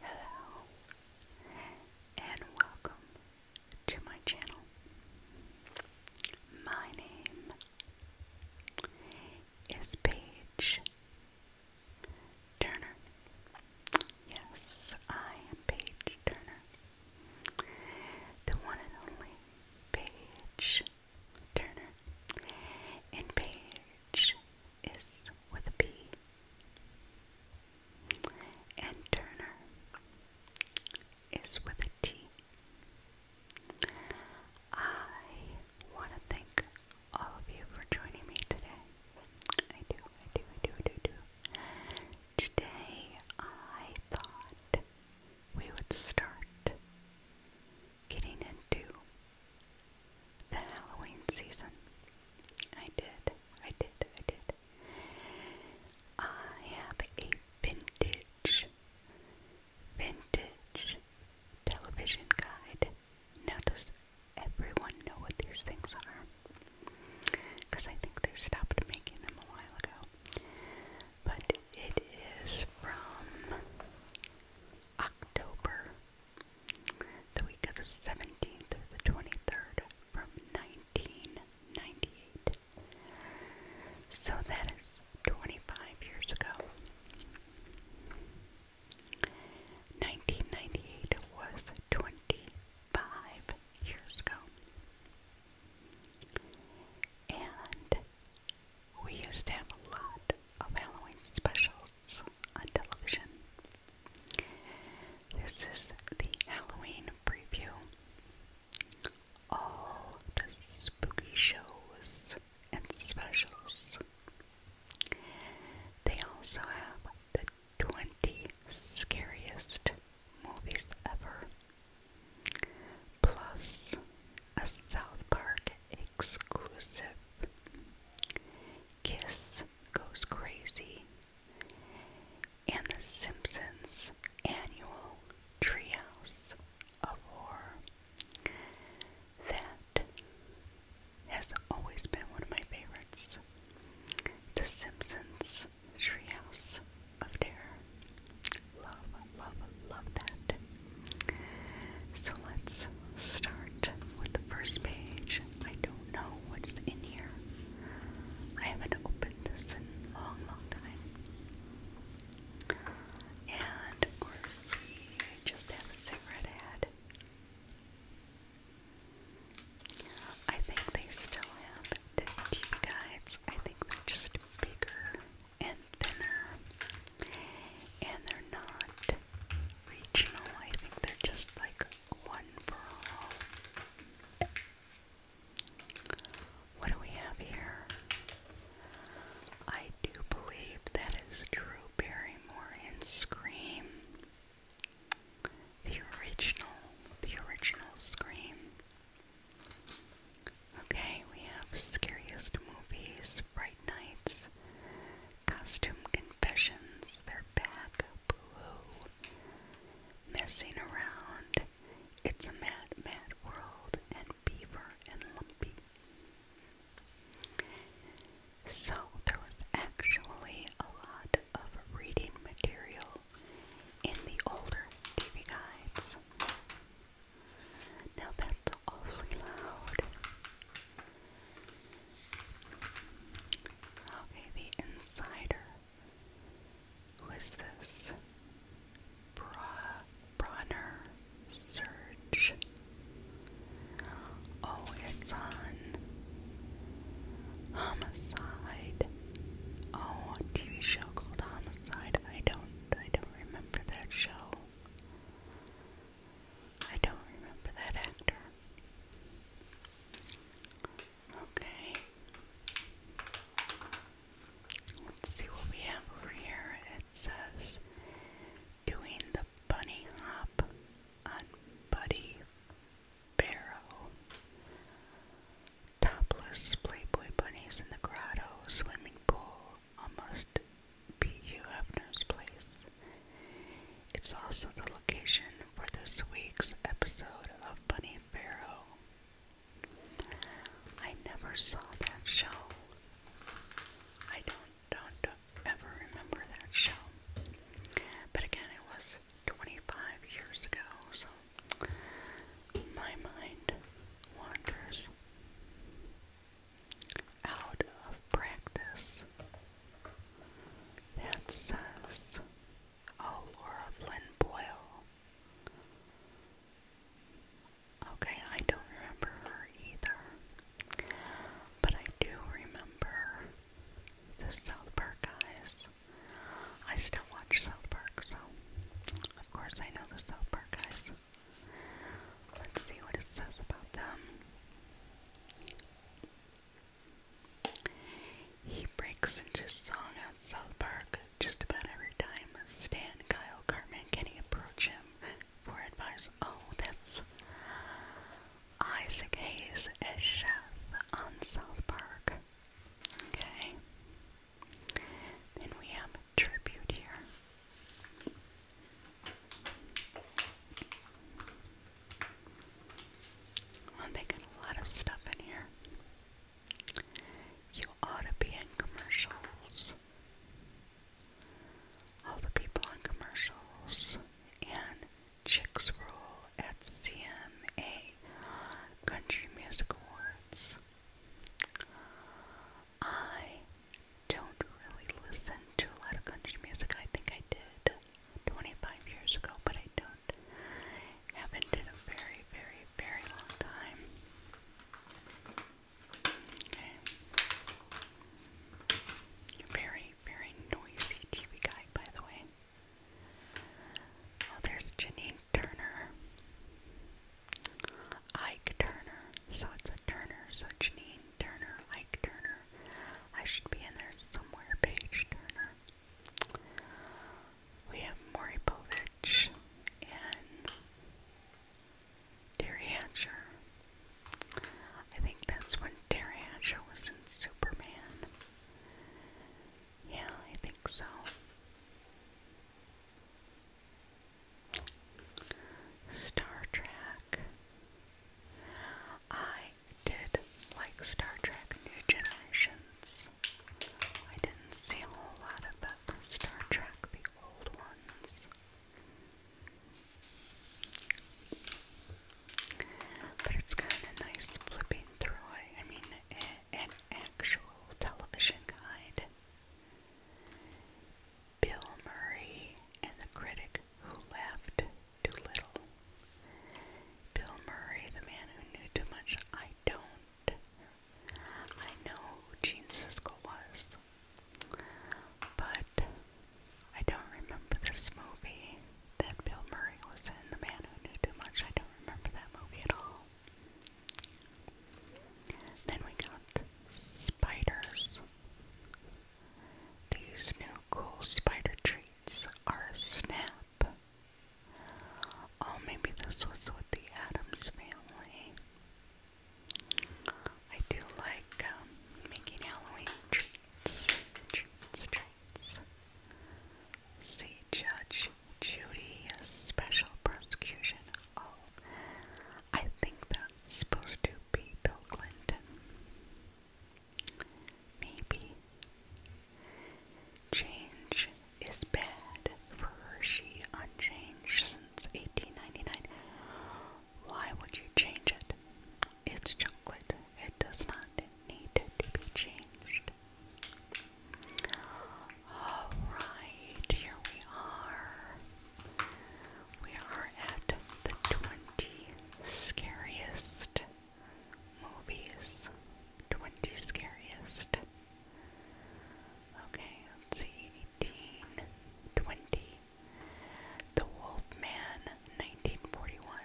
Hello and welcome to my channel. My name is Paige Turner. Yes, I am Paige Turner. The one and only Paige Turner. And Paige is with a B. And Turner is with a T. I want to thank all of you for joining me today. I do, I do, I do, I do, I do. Today I thought we would start getting into the Halloween season. I did, I did, I did. I have a vintage, vintage television guide. Now, does everyone know what these things are? Because I think they stopped making them a while ago. But it is from October the week of the 17th or the 23rd from 1998. So that is 25 years ago. 1998 was 25 years ago. And we used to have a lot of Halloween specials on television. This is the Halloween preview. All the spooky shows and specials. They also have the 20 scariest movies ever, plus a South Park exclusive Kiss goes crazy, and The Simpsons Annual Treehouse of Horror. That has always been one of my favorites. The Simpsons Treehouse of Terror. Love, love, love that. So let's start with the first page. I don't know what's in here. I haven't opened this in a long, long time. And of course, we just have a cigarette ad. I think they still have DVD guides. I think they're just bigger and thinner, and they're not regional. I think they're just like one for all. What do we have here? I do believe that is Drew Barrymore in Scream. The original, the original Scream. Okay, we have Scariest Movies, Bright Nights, Confessions, Costume Confessions, they're back, boo, Messing Around, It's a Mad, Mad World, and Beaver and Lumpy. So there was actually a lot of reading material in the older TV guides. Now that's awfully loud. Okay, the insider. Who is this? Bra Bronner Surge. Oh, it's on Homicide. Oh, a TV show called Homicide. I don't I don't remember that show. I don't remember that actor. Okay. Let's see what we have over here. It says doing the bunny hop on Buddy Barrow. Topless Playboy bunnies in the grotto, swimming pool, almost be Hugh Hefner's place. It's also the location for this week's episode of Bunny Pharaoh. I never saw that show. I don't, don't, ever remember that show. But again, it was 25 years ago, so my mind wanders out of practice that says, Oh, Laura Flynn Boyle. Okay, I don't remember her either, but I do remember the South Park guys. I still watch South Park, so of course I know the South Park guys. Let's see what it says about them. He breaks into song at South Park just about every time Stan, Kyle, Carmen, Kenny approach him for advice. Oh, that's Isaac Hayes as chef on South Park. Okay. Then we have a tribute here. I'm thinking a lot of stuff in here. You ought to be in commercials. All the people on commercials and Chicks Rule at CMA Country Music Awards. I don't really listen to a lot of country music. I think I did 25 years ago, but I don't haven't in a very, very, very long time. Okay. Very, very noisy TV guide, by the way. Oh, there's Janine Turner. Ike Turner. So it's a Turner. So Janine Turner, Ike Turner. I should be in there somewhere. Page Turner. We have Moripovich and Terry Hatcher. I think that's when Terry Hatcher was in Superman. Yeah, I think so. Star Trek. I I did like Star Trek New Generations. I didn't see a whole lot of it. Star Trek, the old ones. But it's kind of nice flipping through I mean, an actual television guide. Bill Murray and the critic who left Doolittle. Bill Murray, the man who knew too much. I don't. I know who Gene Siskel was, but I don't remember this movie that Bill Murray was in. The man who knew too much. I don't remember that movie at all. Then we got spiders. These new Cool spider treats are a snap. Oh, maybe this was with the Adams family. I do like um, making Halloween treats. Treats, treats. See Judge Judy, a special prosecution. Oh, I think that's supposed to be Bill Clinton. Maybe. Change is bad for her. She unchanged since 1899. Why would you change it? It's chocolate. It does not need to be changed. Alright, here we are. We are at the 20 scariest movies 20 scariest. Okay, let's see 18, 20. The Wolfman 1941.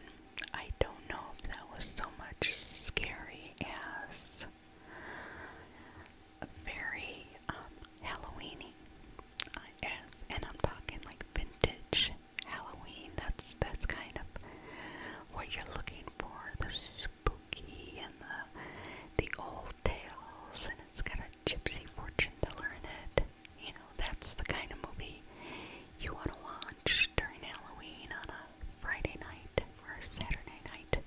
I don't know if that was so much scary as very um, Halloweeny. Uh, and I'm talking like vintage Halloween. That's that's kind of what you're looking for. The spooky and the the old tales and it's got a gypsy fortune teller in it. You know, that's the kind of movie you want to watch during Halloween on a Friday night or a Saturday night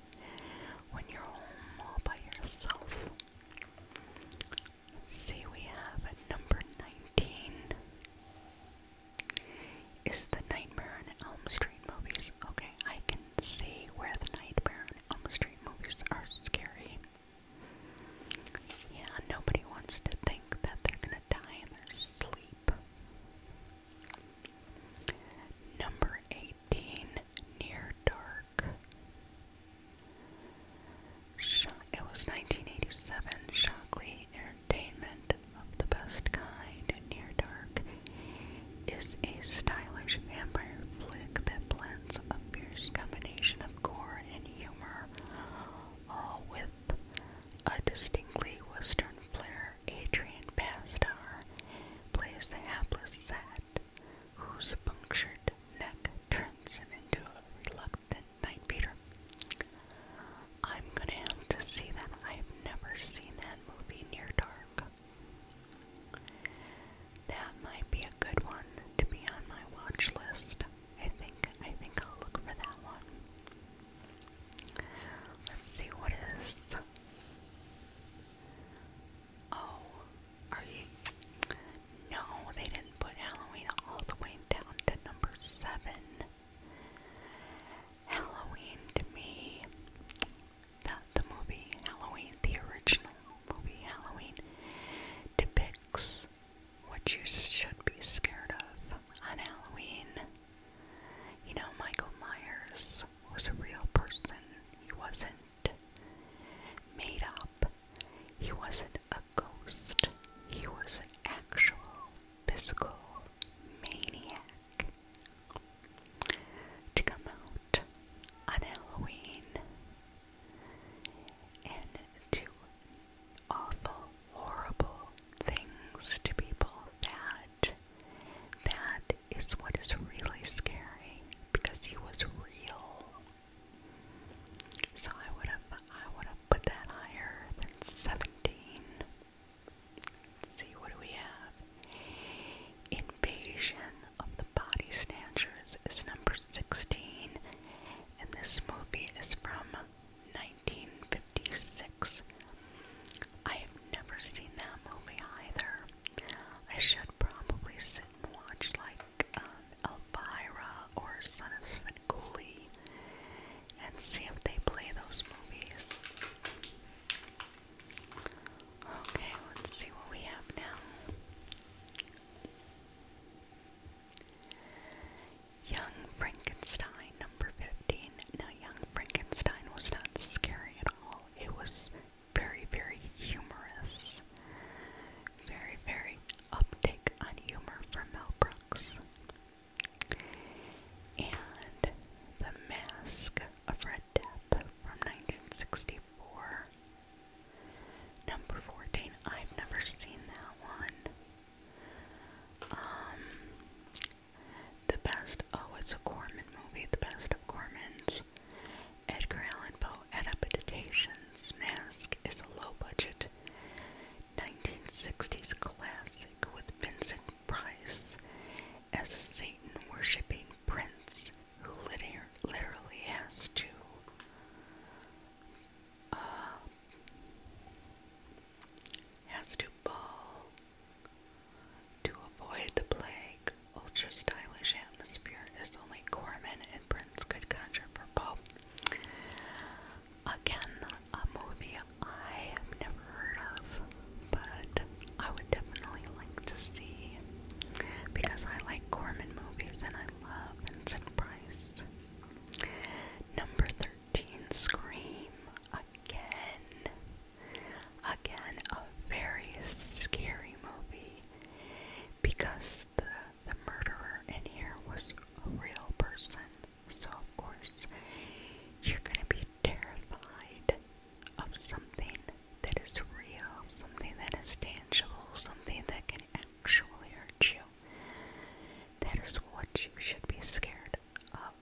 when you're home all by yourself. Let's see, we have at number 19 is the Nightmare on Elm Street movies. Okay, I can see where the Nightmare on Elm Street movies are scary. Yeah, nobody wants to think that they're gonna die in sleep. Number 18, Near Dark. it was 1987. Shockley entertainment of the best kind Near Dark is a stylish vampire flick that blends a fierce combination of gore and humor, all with a distinctly Western flair. Adrian Pastar plays the hapless Sat, whose punctured neck turns him into a reluctant night beater. I'm gonna have to see that. I've never seen that movie Near Dark. That might be a good one to be on my watch list. I think I think I'll look for that one. Let's see what is Oh, are you No, they didn't put Halloween all the way down to number seven. Halloween to me, the, the movie Halloween, the original movie Halloween, depicts what you should be scared of on Halloween. You know, Michael Myers was a real person, he wasn't made up, he wasn't a ghost, he was an actual physical maniac to come out on Halloween and do awful, horrible things to people that that is what is really scary because he was real. So I would have I would have put that higher than seventeen. Let's see, what do we have? Invasion of the Body Snatchers is number 16, and this movie is from 1956. I have never seen that movie either. I should probably sit and watch, like, um, Elvira or Son of Glee and see if they play those movies. Okay, let's see what we have now. Young Frankenstein, number 15. Now, Young Frankenstein was not scary at all. It was very, very humorous. Very, very uptick on humor from Mel Brooks and The Mask of Red Death from 1964. Number 14, I've never seen that one. Um, the best, oh, it's a Corman movie, the best of Corman's. Edgar Allan Poe adaptations. Mask is a low budget 1960s classic with Vincent price as Satan worshipping prince who literally has to uh, has to bow to avoid the plague. Ultra stylish atmosphere is only Corman and Prince could conjure for Pope. Again, a movie I have never heard of, but I would definitely like to see because I like Corman movies and I love Vincent Price. Number 13, Scream. Again. Again, a very scary movie because the, the murderer in here was a real person. So, of course, you're going to be terrified of something that is real, something that is tangible, something that can actually hurt you. That is what you should be scared of.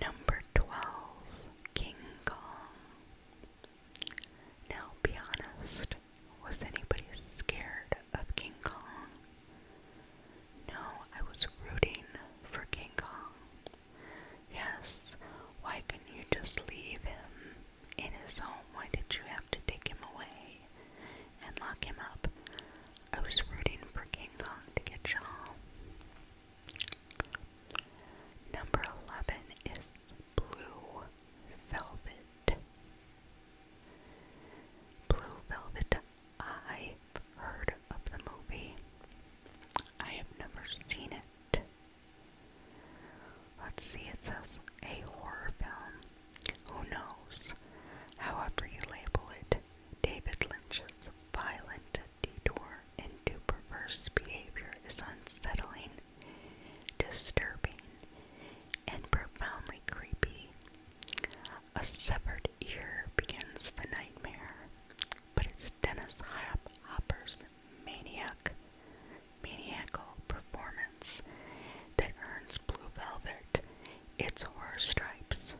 Number 12 King Kong. Now, be honest, was anybody scared of King Kong? No, I was rooting for King Kong. Yes, why couldn't you just leave him in his home? Why did you have to take him away and lock him up? I was rooting for King Kong to get John. Number 11 is Blue Velvet. Blue Velvet I've heard of the movie. I have never seen it. Let's see, it says a horror film. Who knows? However, you label it, David Lynch's violent detour into perverse behavior is unsettling, disturbing, and profoundly creepy. A severed ear begins the nightmare, but it's Dennis Hopper's maniac, maniacal performance that earns Blue Velvet its horror stripes.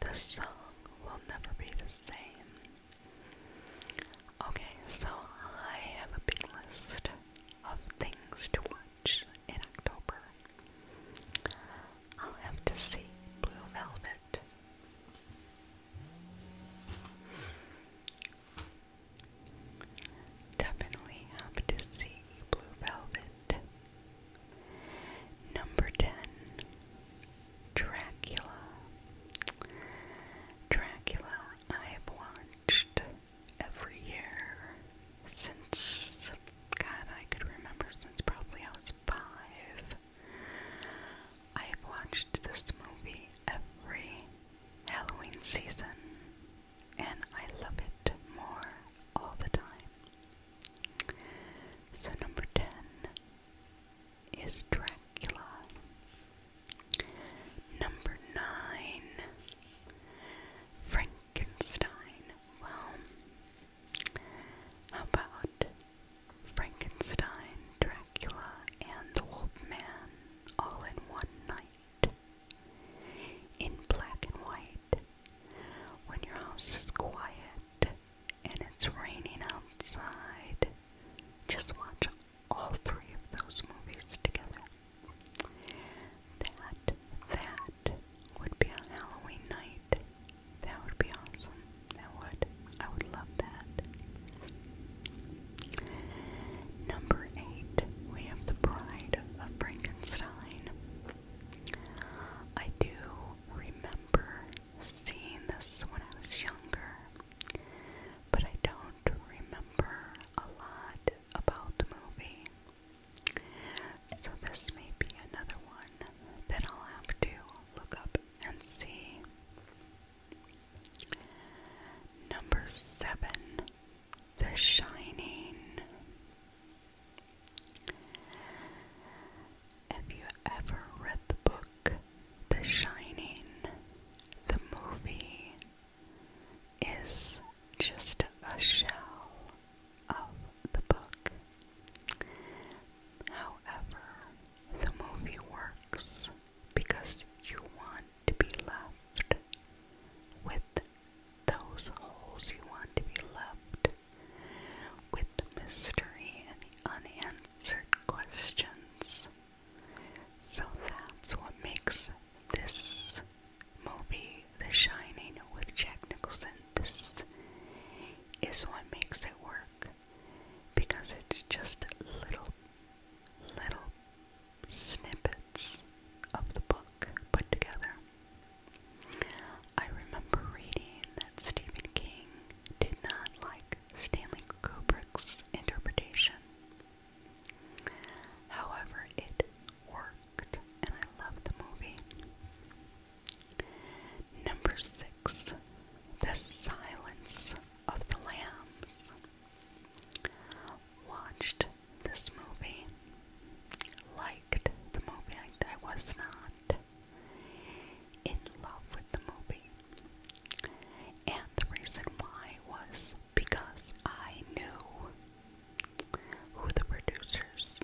The song will never be the same. Okay, so I have a big list of things to watch in October. I'll have to see Blue Velvet. Definitely have to see Blue Velvet. Number 10 Dracula. Dracula, I have watched every year since God, I could remember since probably I was five. I've watched this movie every Halloween season, and I love it more all the time. So, number 10 is Dracula. Number 9, Frankenstein. Well, how about Frankenstein, Dracula, and the Man all in one night? In black and white, when your house is quiet and it's raining outside, just watch all three of those movies together. That, that, would be on Halloween night. That would be awesome. That would. I would love that. Number eight, we have The Bride of Frankenstein. I do remember seeing this when I was younger, but I don't remember a lot about the movie. So this may be another one that I'll have to look up and see. Number seven, The Shining. Have you ever read the book The Shining? The movie is just a shell of the book. However, the movie works because you want to be left with those holes, you want to be left with the mystery and the unanswered questions. So that's what makes this movie, The Shining with Jack Nicholson, this is what makes it work because it's just little, little snippets of the book put together. I remember reading that Stephen King did not like Stanley Kubrick's interpretation. However, it worked, and I loved the movie. Number six, the silence of the lambs. Watched this movie, liked the movie, I, was not in love with the movie. And the reason why was because I knew who the producers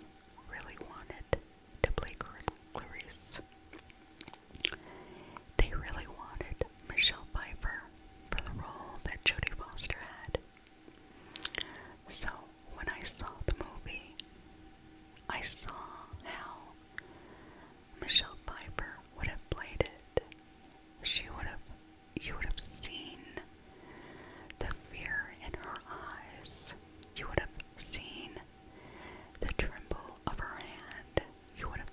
really wanted to play Clarice. They really wanted Michelle Pfeiffer for the role that Jodie Foster had. So when I saw the movie, I saw how Michelle Pfeiffer would have played it. She would have you would have seen the fear in her eyes. You would have seen the tremble of her hand, you would have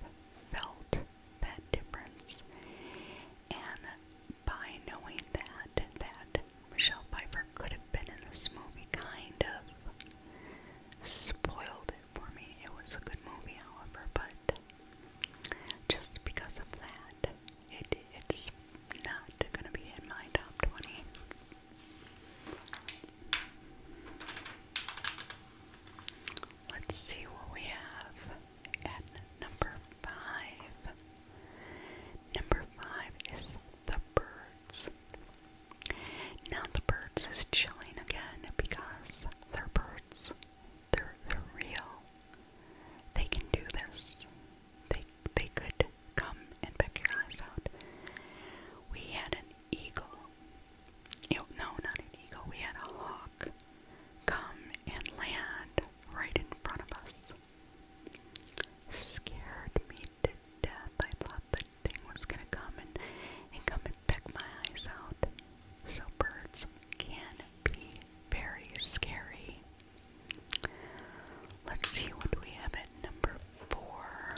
felt that difference. And by knowing that, that Michelle Pfeiffer could have been in this movie kind of spoiled it for me. It was a good movie, however, but just because of that, it, it's not gonna be in my top 20. Let's see what we have at number five. Number five is the birds. Now the birds is chilling again because they're birds. They're they're real. They can do this. They they could come and pick your eyes out. We had an eagle. No, not an eagle. We had a hawk come and land right in front of us. Scared me to death. I thought the thing was gonna come and, and come and pick my eyes out. So birds can be very scary. Let's see what we have at number four.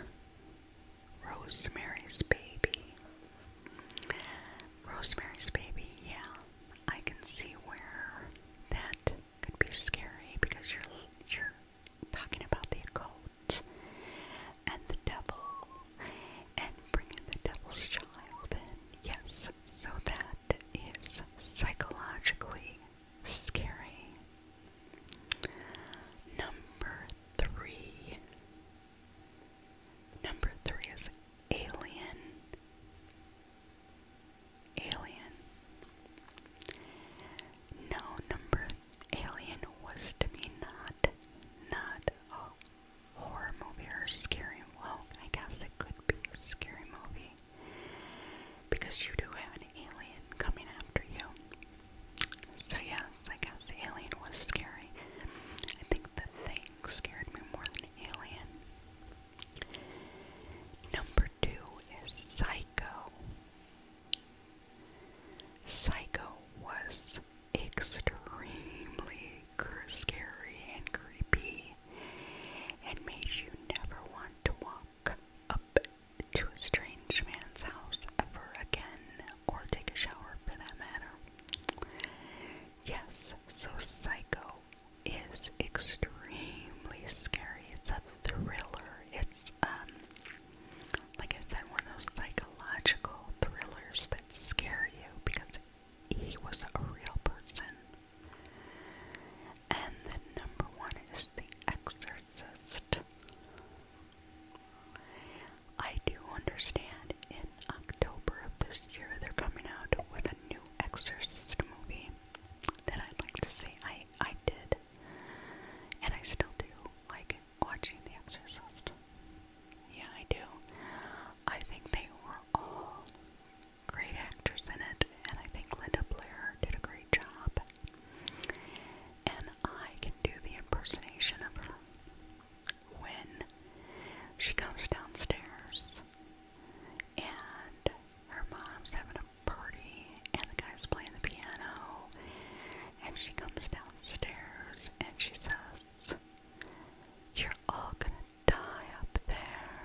Rosemary's Baby. Rosemary's Baby, yeah. I can see where that could be scary because you're you're talking about the occult and the devil and bringing the devil's child in. Yes, so that is psychologically scary. Number three. Number three is alien. Alien. No, number alien was to me not not a horror movie or scary well, I guess it could be scary movie. Because you do have alien coming after you. So, yes, I guess the alien was scary. I think the thing scared me more than alien. Number two is Psycho. Psycho was extremely scary and creepy and made you never want to walk up to a strange man's house ever again, or take a shower for that matter. Yes, so Psycho is extremely scary. It's a thriller. It's um like I said, one of those psychological thrillers that scare you because he was a real person. And then number one is The Exorcist. I do understand in October of this year they're coming out with a new Exorcist movie that I'd like to see. I I did, and I still do like watching The Exorcist. Yeah, I do. I think they were all great actors in it, and I think Linda Blair did a great job and I can do the impersonation of her. When she comes downstairs and her mom's having a party and the guy's playing the piano, and she comes downstairs and she says, You're all gonna die up there.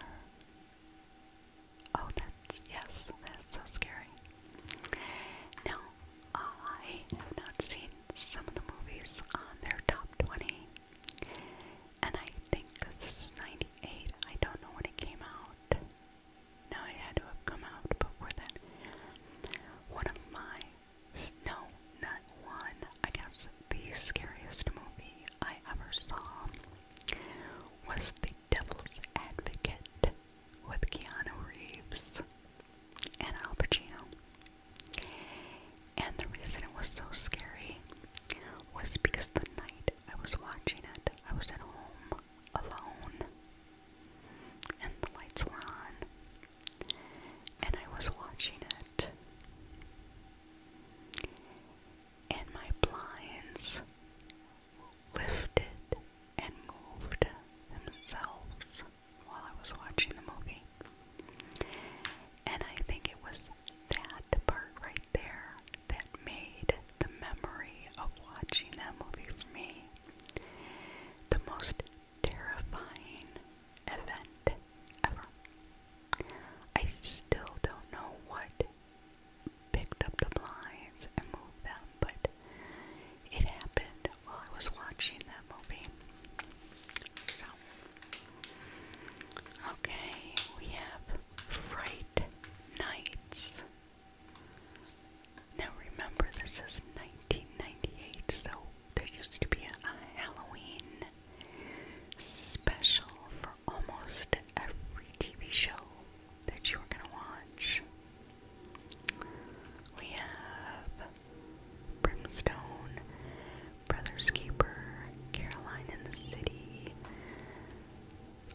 Oh, that's yes, that's so scary. Now, Oh, I have not seen some of the movies on their top 20, and I think this is 98. I don't know when it came out. No, it had to have come out before that. One of my, no, not one, I guess the scariest movie I ever saw was The Devil's Advocate with Keanu Reeves and Al Pacino. And the reason it was so scary was because the night I was watching it, I was at home alone, and the lights were on, and I was watching it, and my blinds lifted and moved themselves while I was watching the movie. And I think it was that part right there that made the memory of watching that movie for me the most terrifying event ever. I still don't know what picked up the blinds and moved them, but it happened read I was watching that movie. So, okay, we have Fright Nights. Now remember, this is 1998, so there used to be a Halloween special for almost every TV show that you were gonna watch. We have Brimstone, Brother's Keeper, Caroline in the City,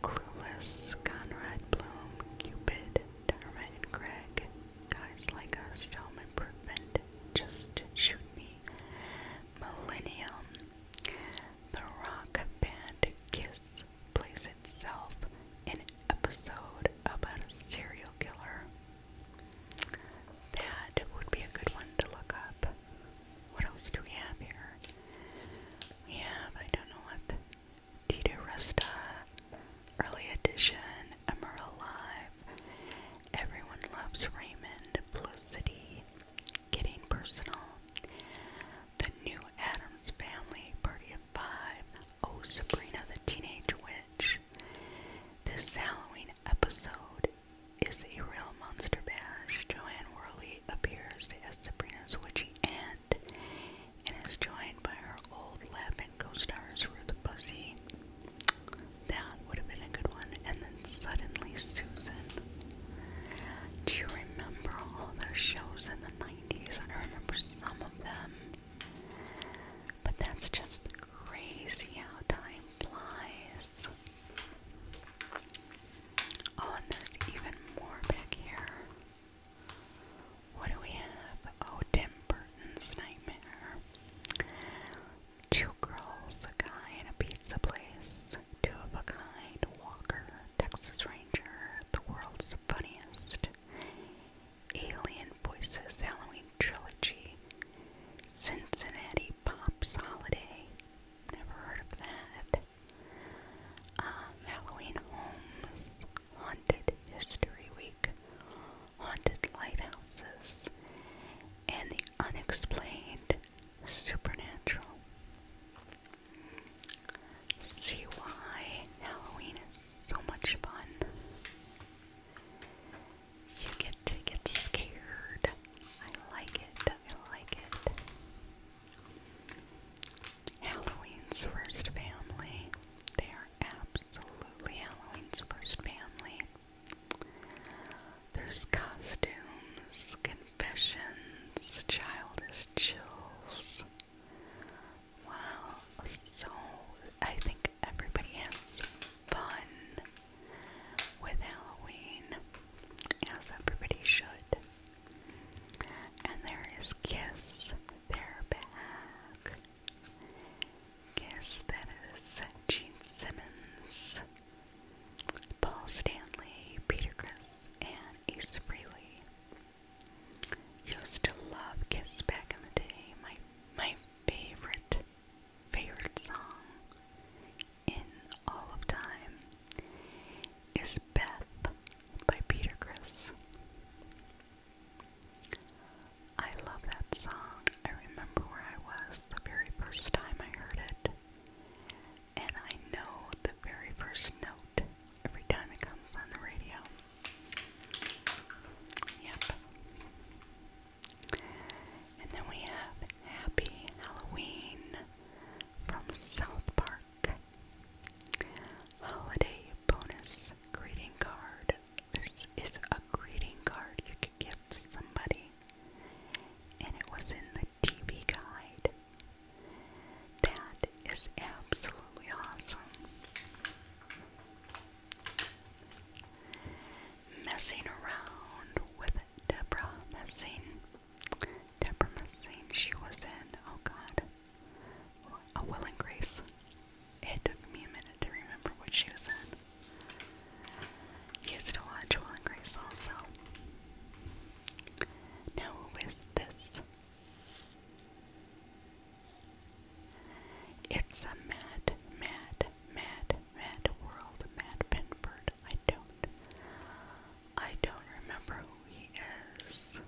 Clueless, Conrad Bloom, Cupid, Dharma and Craig, Guys Like Us, Home Improvement, Just Shoot Me, Millennium, The Rock Band, Kiss, Place Itself, In episode about a serial killer. That would be a good one to look up. What else do we have here? We have, I don't know what, Tito Resta, Early Edition, Emerald Alive, Everyone Loves Raymond, Blue Getting Personal, The New Adams Family, Party of Five, Oh Sabrina the Teenage Witch. This Halloween episode is a real monster bash. Joanne Worley appears as Sabrina's witchy aunt and is joined by her old and co-stars Ruth Pussy. That would have been a good one. And then suddenly Susan. Do you remember all those shows in the 90s? I remember some of them. But that's just crazy how time flies. Oh, and there's even more back here. What do we have? Oh, Tim Burton's Nightmare. Two girls, a guy, and a pizza place. Two of a kind, Walker, Texas Ranger, the world's funniest. Alien Voices Halloween Trilogy, Cincinnati Pops Holiday. Never heard of that. Um, Halloween Homes, Haunted History Week, Haunted Lighthouses, and The Unexplained Supernatural. See why Halloween is so much fun. You get to get scared. I like it. I like it. Halloween's first family. They are absolutely Halloween's first family. There's costumes, confessions, childish chills. Wow, so I think everybody has fun with Halloween, as everybody should. And there is Kiss, they're back. Kiss, that is Gene Simmons, Paul Stanley, Peter Chris, and Ace Frehley. Used to love Kiss back in the day. My my favorite, favorite song in all of time is Beth by Peter Chris. I love that song. I remember where I was the very first time I heard it. And I know the very first note every time it comes on the radio. Yep. And then we have Happy Halloween from South Park. Holiday bonus greeting card. This is a greeting card you could give to somebody. And it was in the TV guide. That is absolutely awesome. Messing around with Deborah Messing. Deborah Messing, she was in, oh god, A Will and Grace. It took me a minute to remember what she was in. Used to watch Will and Grace also. Now, who is this? It's a mad, mad, mad, mad world, Mad Pinbird. I don't, I don't remember who he is.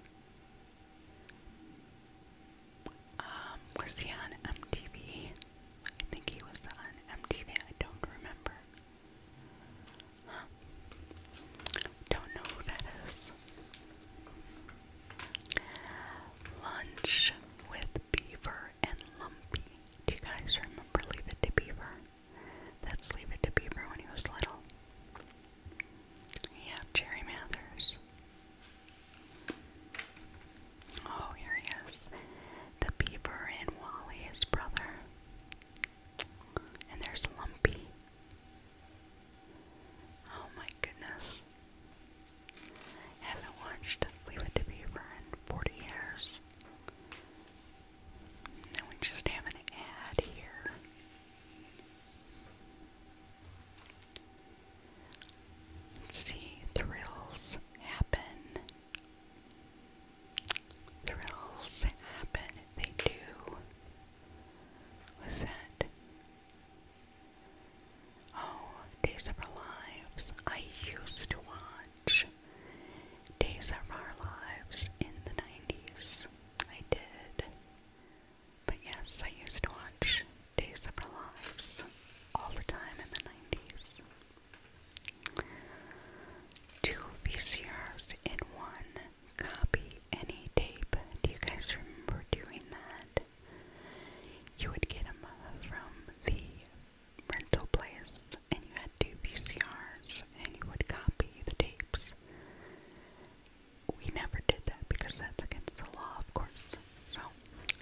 Um, was he on MTV? I think he was on MTV. I don't remember. Don't know who that is. Lunch with Beaver and Lumpy. Do you guys remember Leave It to Beaver? That's Leave It to Beaver when he was little. Yeah, Jerry Mathers. Oh, here he is. The Beaver and Wally, his brother. And there's Lumpy. Oh my goodness. Haven't watched Leave It to Beaver in 40 years. And we just have an ad here. Let's see, thrills happen. Thrills happen, they do. Was that Oh, Days of Our Lives. I used to watch Days of Our Lives in the 90s. I did. But yes, I used to watch Days of Our Lives all the time in the 90s. Two VCRs in one. Copy any tape. Do you guys remember doing that? You would get them from the rental place, and you had two VCRs, and you would copy the tapes. We never did that because that's against the law, of course. So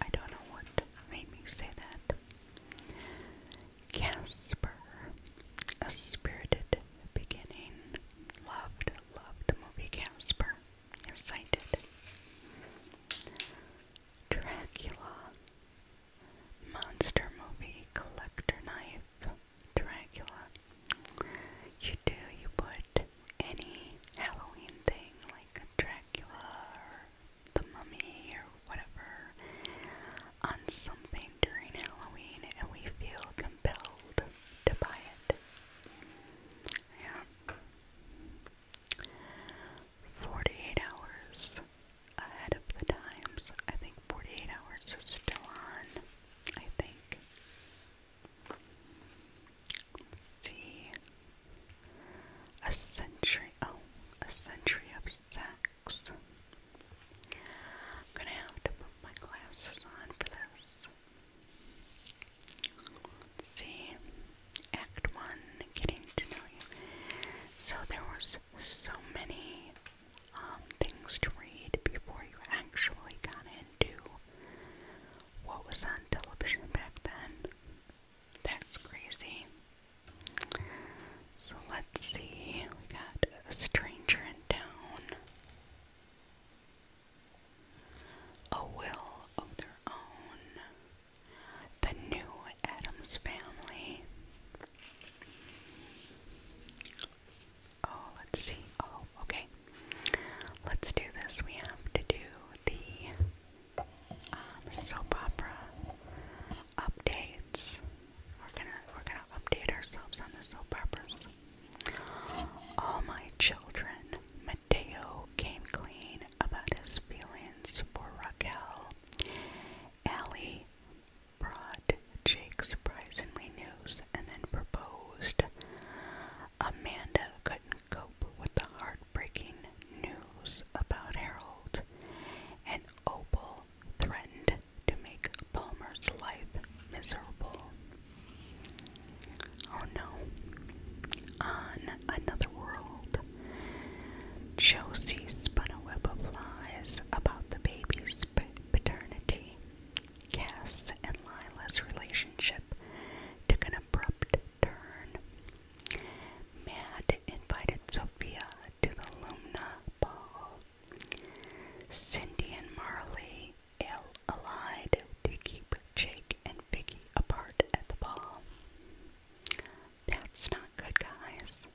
I don't know what made me say that. Casper, a spirited beginning. Loved, loved the movie Casper. Yes, Dracula Monster Movie Collector Knife Dracula. You do, you put any Halloween thing like Dracula or the mummy or whatever on something during Halloween and we feel compelled to buy it. Yeah. 48 hours ahead of the times. I think 48 hours is still on. I think. see. A century. Oh, a century of sex. I'm gonna have to put my glasses on for this see. Act one, getting to know you. So there was so many um, things to read before you actually got into what was on television back then. That's crazy. So let's see, we got a stranger in town. A will of their own. The New Adams Family. Oh, let's see. Oh, okay. Let's do this. We have to do the um, soap opera updates. We're gonna we're gonna update ourselves on the soap operas. All my children, Mateo came clean about his feelings for Raquel. Allie brought Jake surprisingly news and then proposed. Amanda couldn't cope with the heartbreaking news about Harold, and Opal threatened to make Palmer's life miserable. Oh no. On another world. Josie spun a web of lies about the baby's paternity. Cass and Lila's relationship took an abrupt turn. Mad invited Sophia to the Lumna Ball. Cindy and Marley allied to keep Jake and Vicky apart at the ball. That's not good, guys.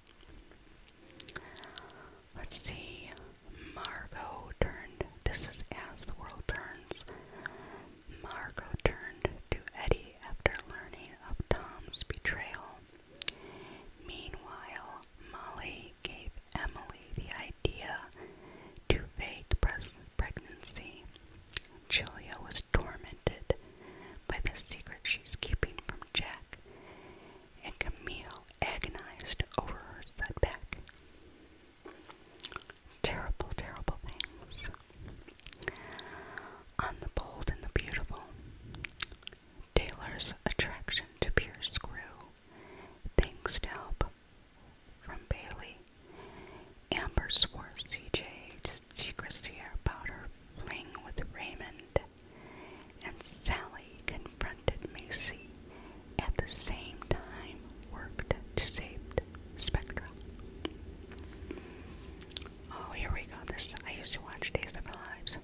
Let's see. Margot turned. This is as the world turns. Margot turned to Eddie after learning of Tom's betrayal. Meanwhile, Molly gave Emily the idea to fake pregnancy. Julia was tormented by the secret she's keeping from Jack, and Camille agonized over her setback. Terrible, terrible things. On the Bold and the Beautiful, Taylor's attraction to Pierce grew, thanks to help from Bailey, Amber swore CJ to secrecy about her fling with Raymond, and Sally confronted Macy at the same time worked to save Spectra. Oh, here we go. This I used to watch Days of Our Lives.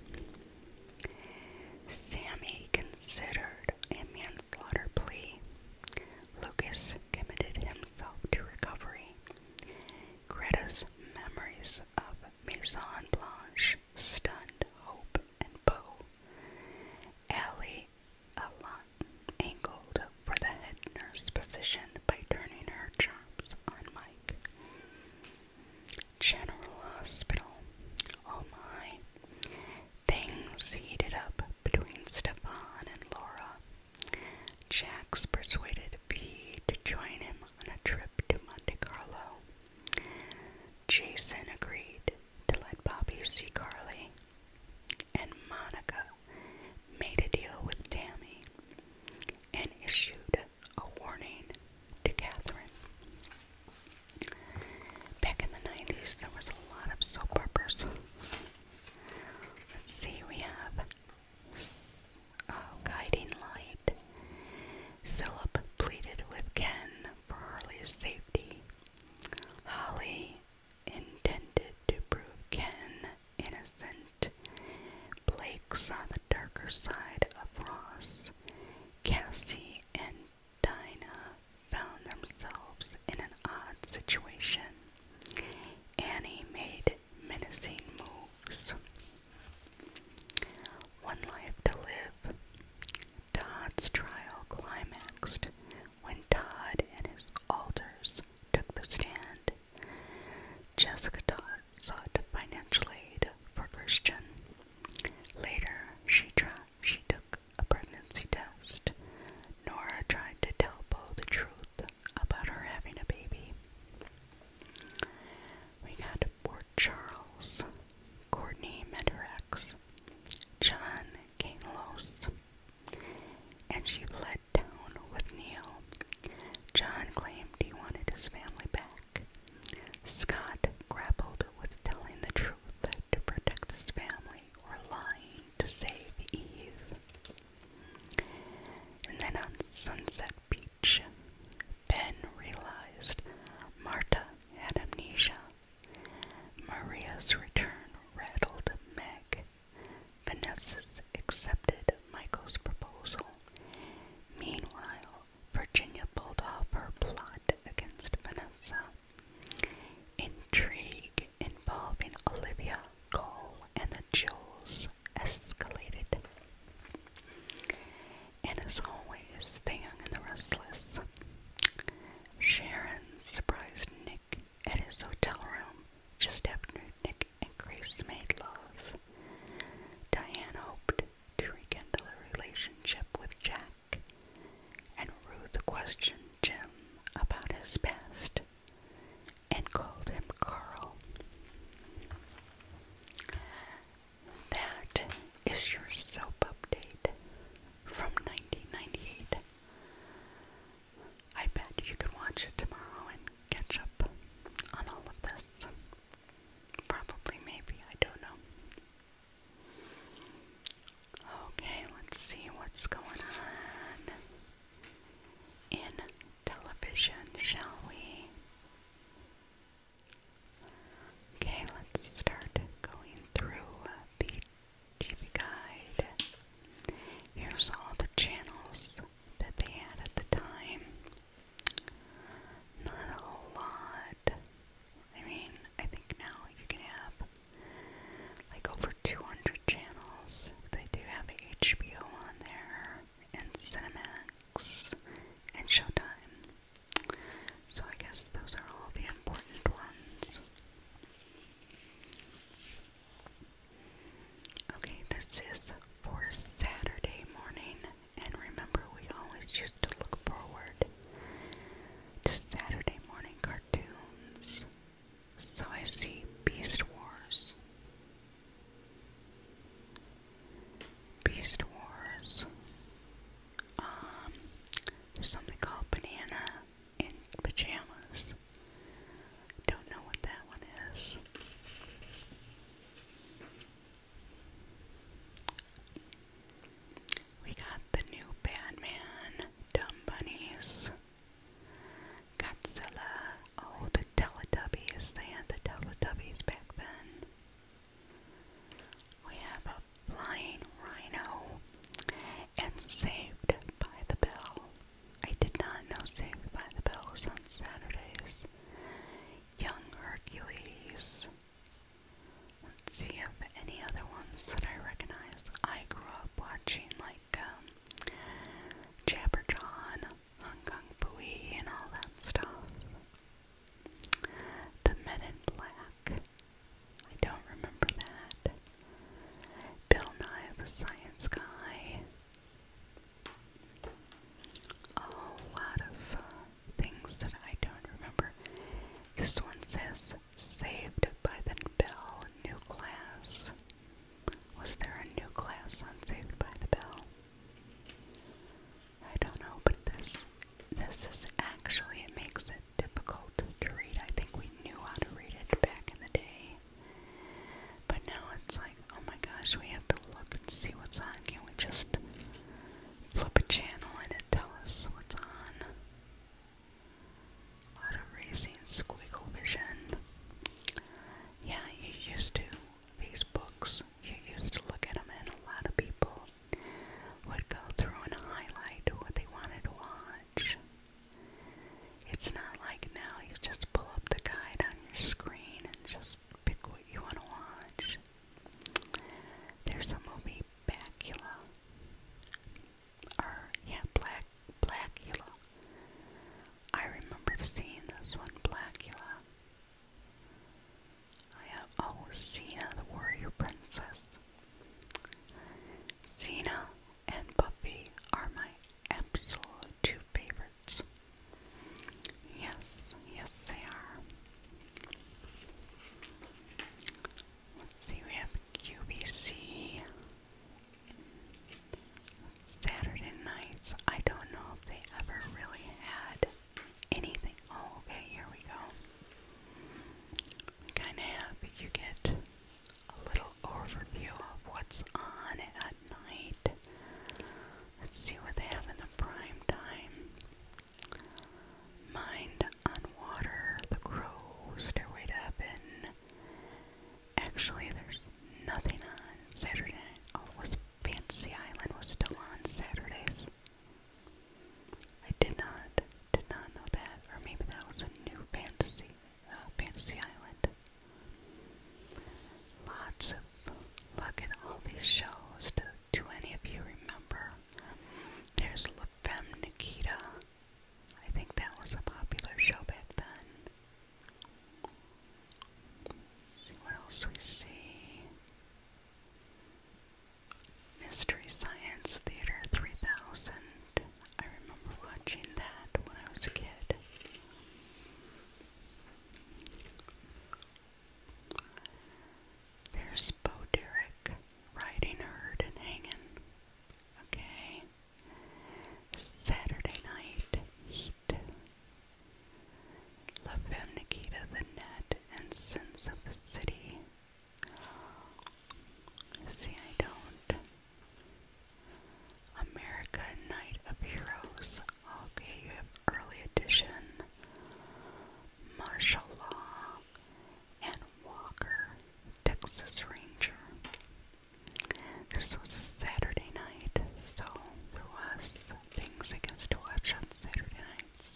Sammy considered a manslaughter plea. Lucas committed himself to recovery. Greta's memories of Maison stunned Hope and Poe. Allie angled for the head nurse position by turning her chops on Mike. General Hospital. Oh my. Things heated up between Stefan and Laura Jack persuaded V to join him on a trip to Monte Carlo. Jason agreed to let Bobby see Carly, and Monica made a deal with Tammy and issued a warning to Catherine. Back in the 90s, there was a lot of soap operas. Let's see, we have uh, guiding light. Philip pleaded with Ken for Harley's safety. Holly intended to prove Ken innocent. Blake saw the darker side of Ross. Cassie and Dinah found themselves in an odd situation. Annie made menacing moves. One Life to Live. Todd's trial climaxed when Todd and his alters took the stand. Jessica Todd sought financial aid for Christian. Later, she, she took a pregnancy test. Nora tried to tell Bo the truth about her having a baby. We got Port Charles, Courtney met her ex, John Kalos, and she fled town with Neil. John claimed he wanted his family back. Scott grappled with telling the truth to protect his family or lying to save Eve. And then on Sunset beach. Ben realized Marta had amnesia. Maria's return rattled Meg. Vanessa's accepted Michael's proposal. Meanwhile, Virginia pulled off her plot against Vanessa. Intrigue involving Olivia, Cole, and the Jills escalated. And as always, the young and the restless. Sharon surprised Nick at his hotel room just after Nick and Grace made love. Diane hoped to rekindle a relationship with Jack, and Ruth questioned Jim about his past and called him Carl. That is your soap update from 1998. I bet you can watch it tomorrow and catch up on all of this. Probably, maybe, I don't know. Okay, let's see what's going on in television, shall we? Okay, let's start going through the TV guide. Here's all the channels that they had at the time. Not a whole lot. I mean, I think now you can have like over 200 channels. They do have HBO on there and Cinemax and Showtime. So I guess those are all the important ones. Okay, this is for Saturday morning, and remember, we always used to look forward to Saturday morning cartoons. So I see Beast Wars, Beast Wars. Um, there's something called Banana in Pajamas. Don't know what that one is. We got the new Batman, Dumb Godzilla, Oh, the Teletubbies. They had the Teletubbies back then. We have a flying rhino and Saved by the Bell. I did not know Saved by the Bell was on Saturdays. Young Hercules. Let's see if any other ones that I recognize. I grew up watching like um, Jabberjaw Hong Kong Pui and all that stuff. The Men in Black. I don't remember that. Bill Nye the Science Guy. A lot of uh, things that I don't remember. This one says Saved by the Bell New Class. Was there a new class on Saved by the Bell? I don't know, but this this is actually it makes it difficult to read. I think we knew how to read it back in the day. But now it's like, oh my gosh, we have to look and see what's on. Can we just flip a channel and it tell us what's on? A lot of racing squiggle vision. Yeah, you used to these books you used to look at them, and a lot of people would go through and highlight what they wanted to watch. It's not like now you just pull up the guide on your screen and just pick what you want to watch. There's a movie, Bacula, or yeah, Black Blackula. I remember seeing this one, Blackula, I have oh Cena the warrior princess. Cena and Buffy are my absolute two favorites. Yes, yes they are. Let's see, we have QVC. Saturday nights. I don't know if they ever really had anything. Oh, okay, here we go. Kind of have you get a little overview of what's on at night. Let's see what they have in the prime time. Mind on Water, The Crow, Stairway to Heaven. Actually, there's nothing on Saturday oh, was Fantasy Island was still on Saturdays. I did not did not know that, or maybe that was a new fantasy uh, Fantasy Island. Lots of look at all these shows. Do, any of you remember? There's La Femme Nikita. I think that was a popular show back then. see what else we see. Mystery Science Theater 3000. I remember watching that when I was a kid. There's Bo Derek riding herd and hanging. Okay. Saturday night heat. La Femme Nikita, The Net, and Sins of the City. See, I don't. America Night of Heroes. Okay, you have Early Edition, Martial Law, and Walker, Texas Ranger. This was Saturday night, so there was things I can still watch on Saturday nights.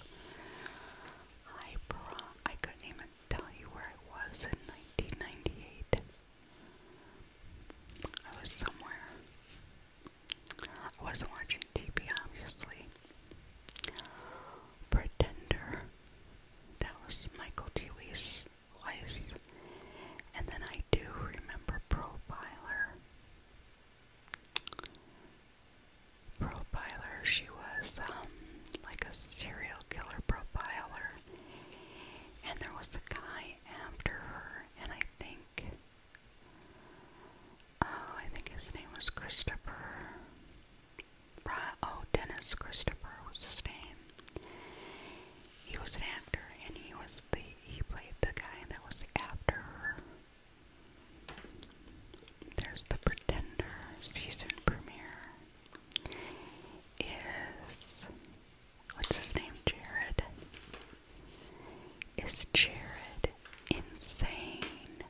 I pro- I couldn't even tell you where I was in 1998. I was somewhere. I wasn't watching TV, obviously. Pretender. That was Michael T. Weiss. And then I do remember Profiler profiler. She was um, like a serial killer profiler. And there was a guy after her, and I think, oh, I think his name was Christopher. Oh, Dennis Christopher was his name. He was an actor, and he was the he played the guy that was after her. There's The Pretender season premiere. Is what's his name? Jared. Is Jared insane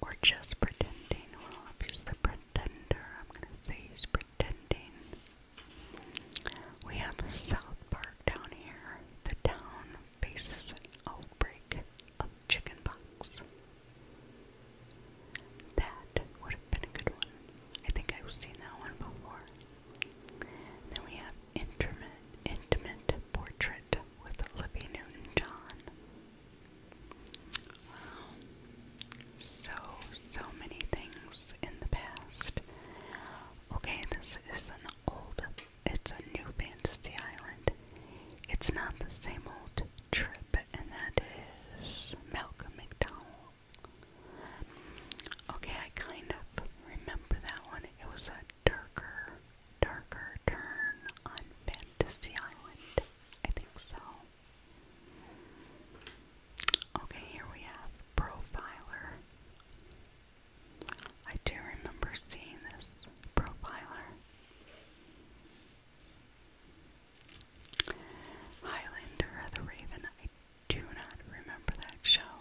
or just pretending? Well, if the pretender, I'm gonna say he's pretending. We have a South Park down here, the town faces an outbreak of chickenpox. That would have been a good one. I think I've seen that one before. Then we have Intimate, intimate Portrait with Libby Newton-John. Wow. So, so many things in the past. Okay, this is an old it's a new fantasy island. It's not the same old trip, and that is Malcolm McDowell. Okay, I kind of remember that one. It was a darker, darker turn on Fantasy Island. I think so. Okay, here we have Profiler. I do remember seeing this profiler. Highlander the Raven. I do not remember that show.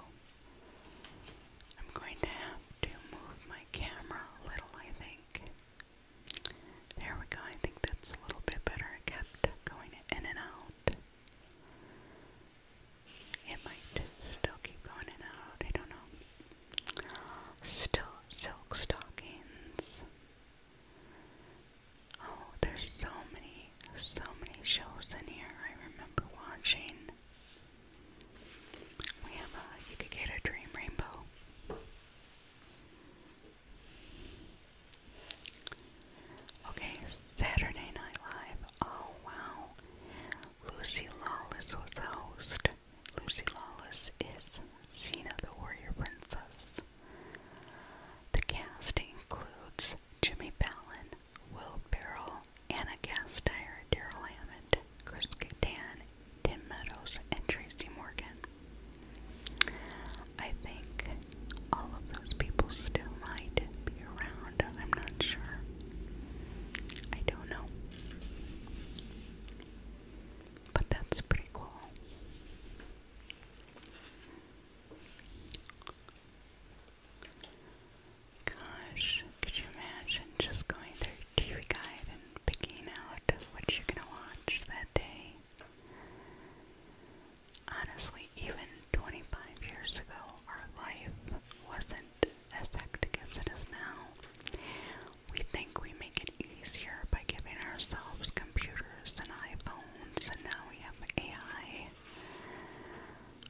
I'm going to have to move my camera a little, I think. There we go. I think that's a little bit better. It kept going in and out. It might still keep going in and out. I don't know. Still silk stockings. Oh, there's so many, so many shows in here. I remember watching. We have a You Could Get a Dream Rainbow. Okay, Saturday Night Live. Oh, wow. Lucy Lawless was the host. Lucy Lawless is Xena the Warrior Princess. The cast includes Jimmy Fallon, Will Ferrell, Anna Gasteyer, Daryl Hammond, Chris Kattan, Tim Meadows, and Tracy Morgan. I think all of those people still might be around. I'm not sure. I don't know. But that's pretty cool. Gosh, could you imagine just going through TV Guide and picking out what you're gonna watch that day? Honestly, even 25 years ago, our life wasn't as hectic as it is now, we think we make it easier by giving ourselves computers and iPhones, and now we have AI.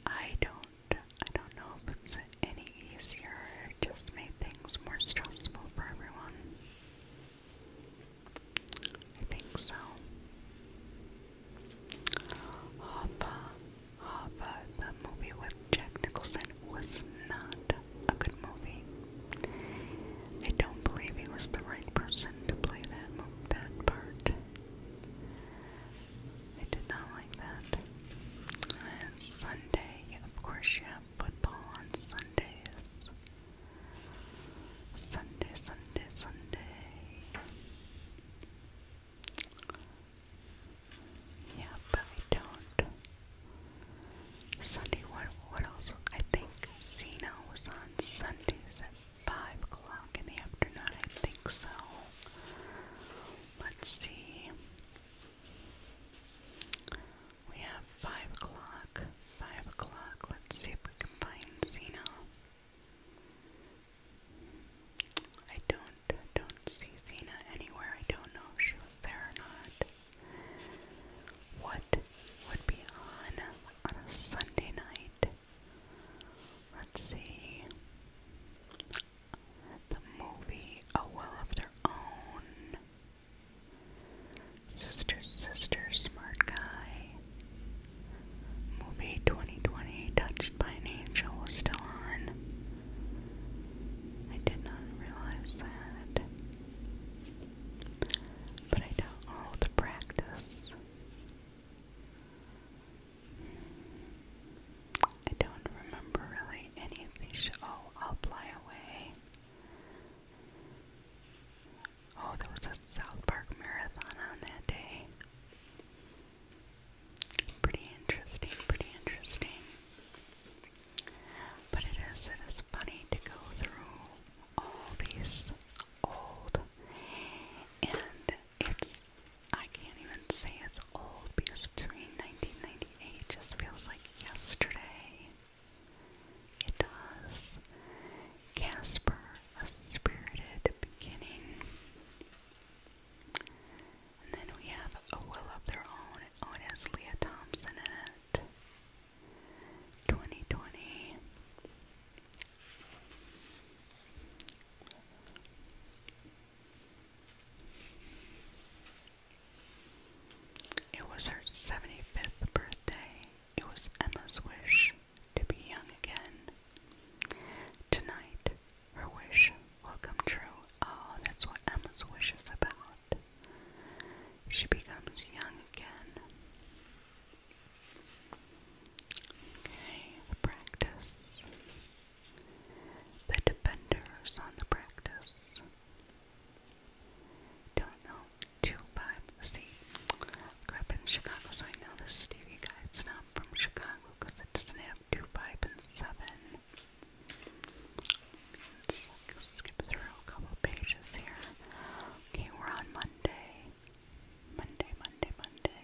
I don't, I don't know if it's any easier. It just made things more stressful for everyone. I think so. Hoffa Hava, uh, the movie with Jack Nicholson, was not a good movie. I don't believe he was the right person to play that that part. I did not like that. And Sunday, of course, you have football on Sundays. Sunday, Sunday, Sunday. Yeah, but I don't. Sunday, what, what else? I think Zeno was on Sundays at 5 o'clock in the afternoon, I think so. Let's see. We have 5 o'clock. 5 o'clock. Let's see if we can find Zeno. I don't I don't see Zena anywhere. I don't know if she was there or not. What would be on on a Sunday night? Let's see. The movie A Will of Their Sister, Sister, Smart Guy. Movie 2020, Touched by an Angel, still on. I did not realize that. But I don't all the practice. I don't remember really any of these. Oh, I'll fly away. Oh, there was a South Park marathon on that day. Pretty interesting, pretty interesting. But it is it is funny to go through all these old and it's I can't even say it's old because between 1998 just feels like yesterday. It does. Casper, a spirited beginning. And then we have A Will of Their Own. it has Leah Thompson in 2020. It was her 75th birthday. It was Emma's wish to be young again. Tonight, her wish will come true. Oh, that's what Emma's wish is about. She becomes young again. Okay, the practice. The dependers on the practice. Don't know. 2 5. See, I grew up in Chicago, so I know this Stevie guy. It's not from Chicago because it doesn't have 2 5 and 7. Let's skip through a couple pages here. Okay, we're on Monday. Monday, Monday, Monday.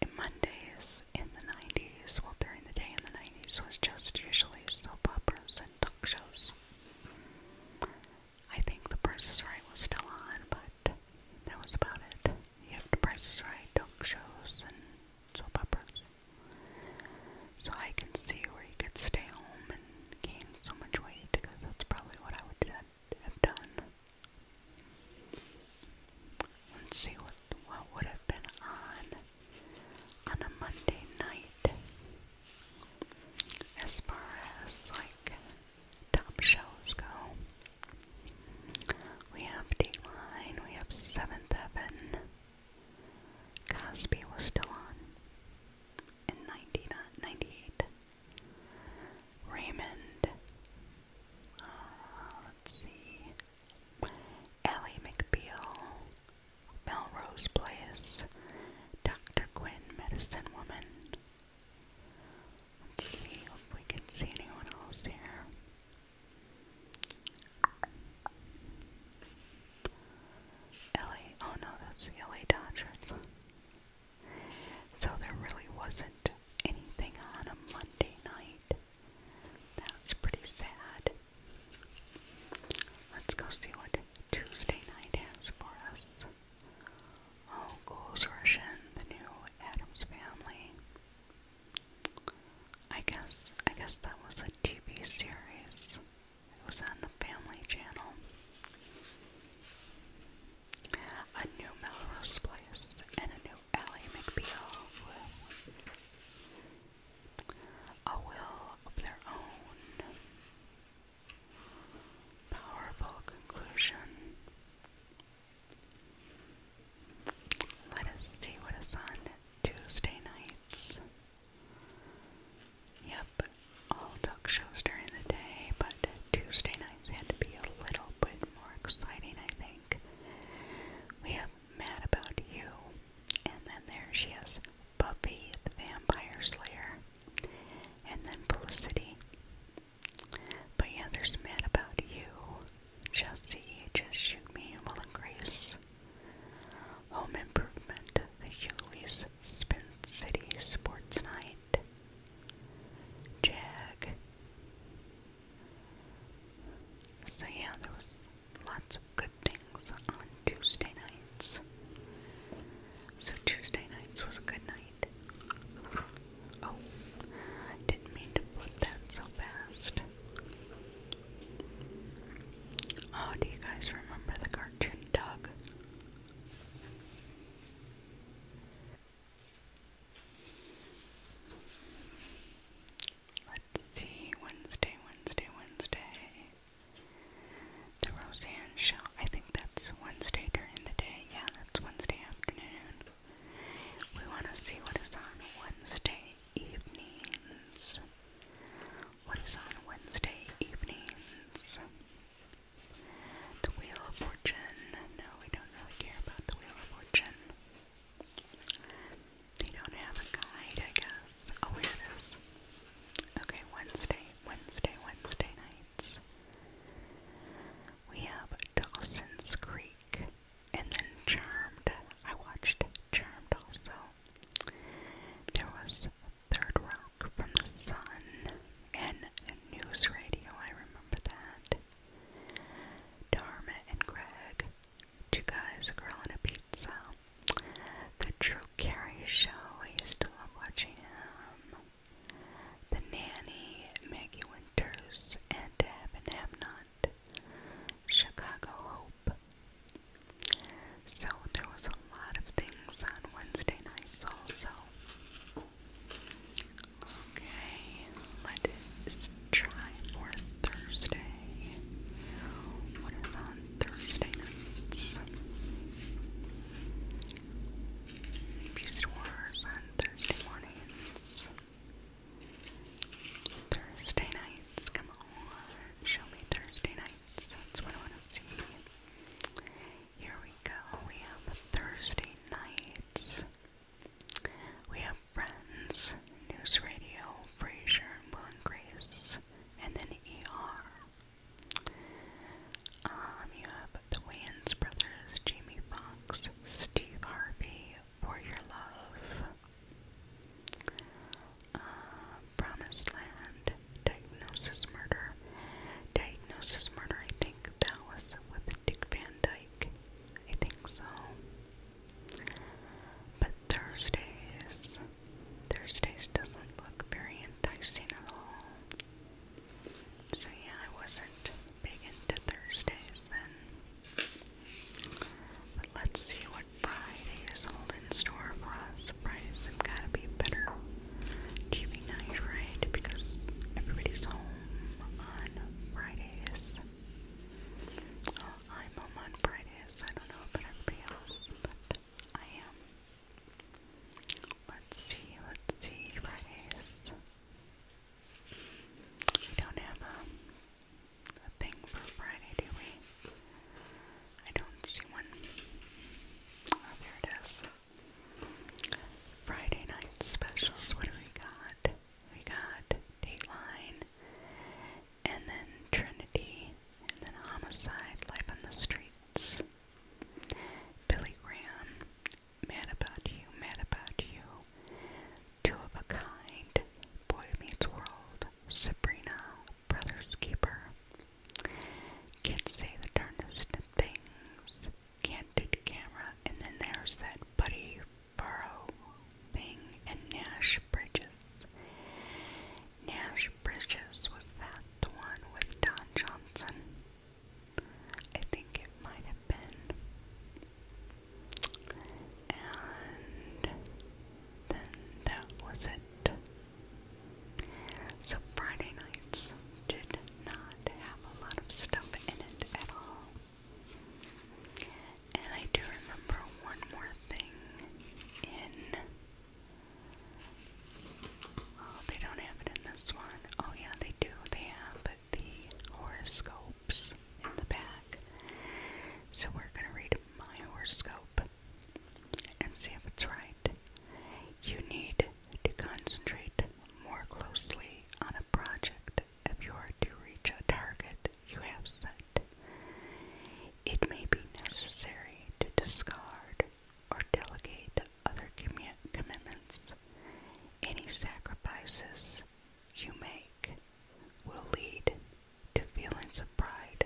And Mondays in the 90s, well, during the day in the 90s, was just usually soap operas and talk shows. I think The Price is Right was still on, but that was about it. You have The Price is Right, talk shows, and soap operas. So I can see where you could stay home and gain so much weight because that's probably what I would have done. Let's see what what would have been on on a Monday night as far as like top shows go. We have Dateline, we have Seventh Heaven, Cosby was still on in 1998. Raymond, uh, let's see, Ellie McBeal, Melrose Place, Dr. Quinn, Medicine Woman. Let's see if we can see anyone else here. LA, oh no, that's LA Dodgers. So there really wasn't anything on a Monday night. That's pretty sad. Let's go see what Tuesday night has for us. Oh, Ghouls Russian, the new Adams Family. I guess I guess that was a TV series. It was on the Family Channel. A new Melrose Place and a new Ally McBeal a will of their own. Powerful conclusion. Let us see what is on Tuesday nights. Yep, all talk shows during the day, but Tuesday nights had to be a little bit more exciting, I think. We have Mad About You, and then there she is, Buffy the Vampire Slayer, and then Felicity. But yeah, there's Mad About You, Chelsea, Just Shoot Me, Will and Grace, Home Improvement, The Hughley's Spin City Sports Night, Jag. So yeah, there was lots of good things on Tuesday nights. So Tuesday nights was a good night. Oh, I didn't mean to put that so fast. Oh, do you guys remember the cartoon Doug? Let's see, Wednesday, Wednesday, Wednesday. The Roseanne Show. I think that's Wednesday during the day. Yeah, that's Wednesday afternoon. We want to see what is on Wednesday evenings what is on Wednesday evenings. The Wheel of Fortune. No, we don't really care about the Wheel of Fortune. They don't have a guide, I guess. Oh, here Okay, Wednesday, Wednesday, Wednesday nights. We have Dawson's Creek and then Charmed. I watched Charmed also. There was a third rock from the sun and news radio, I remember that. Dharma and Greg, two guys, a a pizza. The Drew Carey show, I used to love watching him. The Nanny, Maggie Winters, and Deb and Chicago Hope, so there was a lot of things on Wednesday nights also. Okay, let's try for Thursday. What is on Thursday nights? Beast Wars on Thursday mornings. Thursday nights, come on. Show me Thursday night. That's what I want to see. Here we go. We have Thursday nights. We have Friends, News Radio, Frasier, and Will and Grace, and then ER. Um, you have the Wayans brothers, Jamie Foxx, Steve Harvey, For Your Love. Um, Promised Land, Diagnosis Murder. Diagnosis Murder, I think that was with Dick Van Dyke. I think so. But Thursdays, Thursdays doesn't look very enticing at all. So yeah, I wasn't big into Thursdays But let's see what what Friday is holding in store for us. Fridays have got to be better TV night, right? Because everybody's home on Fridays. Oh, I'm home on Fridays. I don't know about everybody else, but I am. Let's see, let's see, Fridays. We don't have a, um, a thing for Friday, do we? I don't see one. Oh, there it is. Friday night specials. What do we got? We got Dateline, and then Trinity, and then Homicide, Life on the Streets, Billy Graham, Mad About You, Mad About You, Two of a Kind, Boy Meets World, Sabrina, brother's keeper. Kids say the darndest things. Can't Candid camera, and then there's that Buddy Burrow thing and Nash Bridges. Nash Bridges, was that the one with Don Johnson? I think it might have been. And then that was it. So Friday nights did not have a lot of stuff in it at all. And I do remember one more thing in. Oh, they don't have it in this one. Oh, yeah, they do. They have the horoscopes in the back. So we're going to read my horoscope and see if it's right you need to concentrate more closely on a project if you are to reach a target you have set. It may be necessary to discard or delegate other commitments. Any sacrifices you make will lead to feelings of pride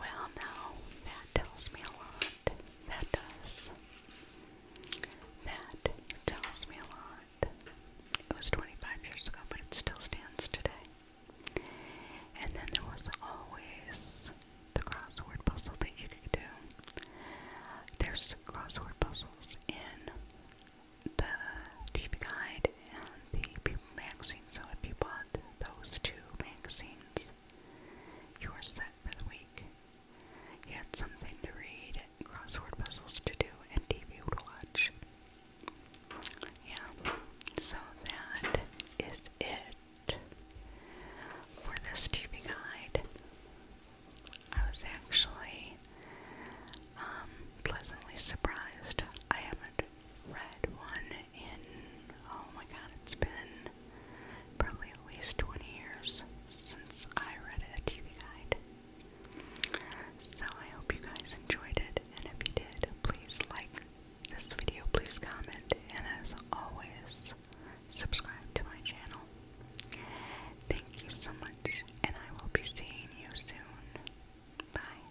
well, now that tells me a lot. That does. That tells me a lot. It was 25 years ago, but it still stands today. And then there was always the crossword puzzle that you could do. There's crossword puzzles in the TV guide and the magazine. So if you bought those two magazines, you were set for the week. You had something to read, crossword puzzles to do, and TV to watch. Yeah, so that is it for this TV guide. I was actually um, pleasantly surprised. I haven't read one in oh my god, it's been probably at least 20 years since I read a TV guide. So I hope you guys enjoyed it, and if you did, please like this video, please comment, and as always, subscribe to my channel. Thank you so much, and I will be seeing you soon. Bye.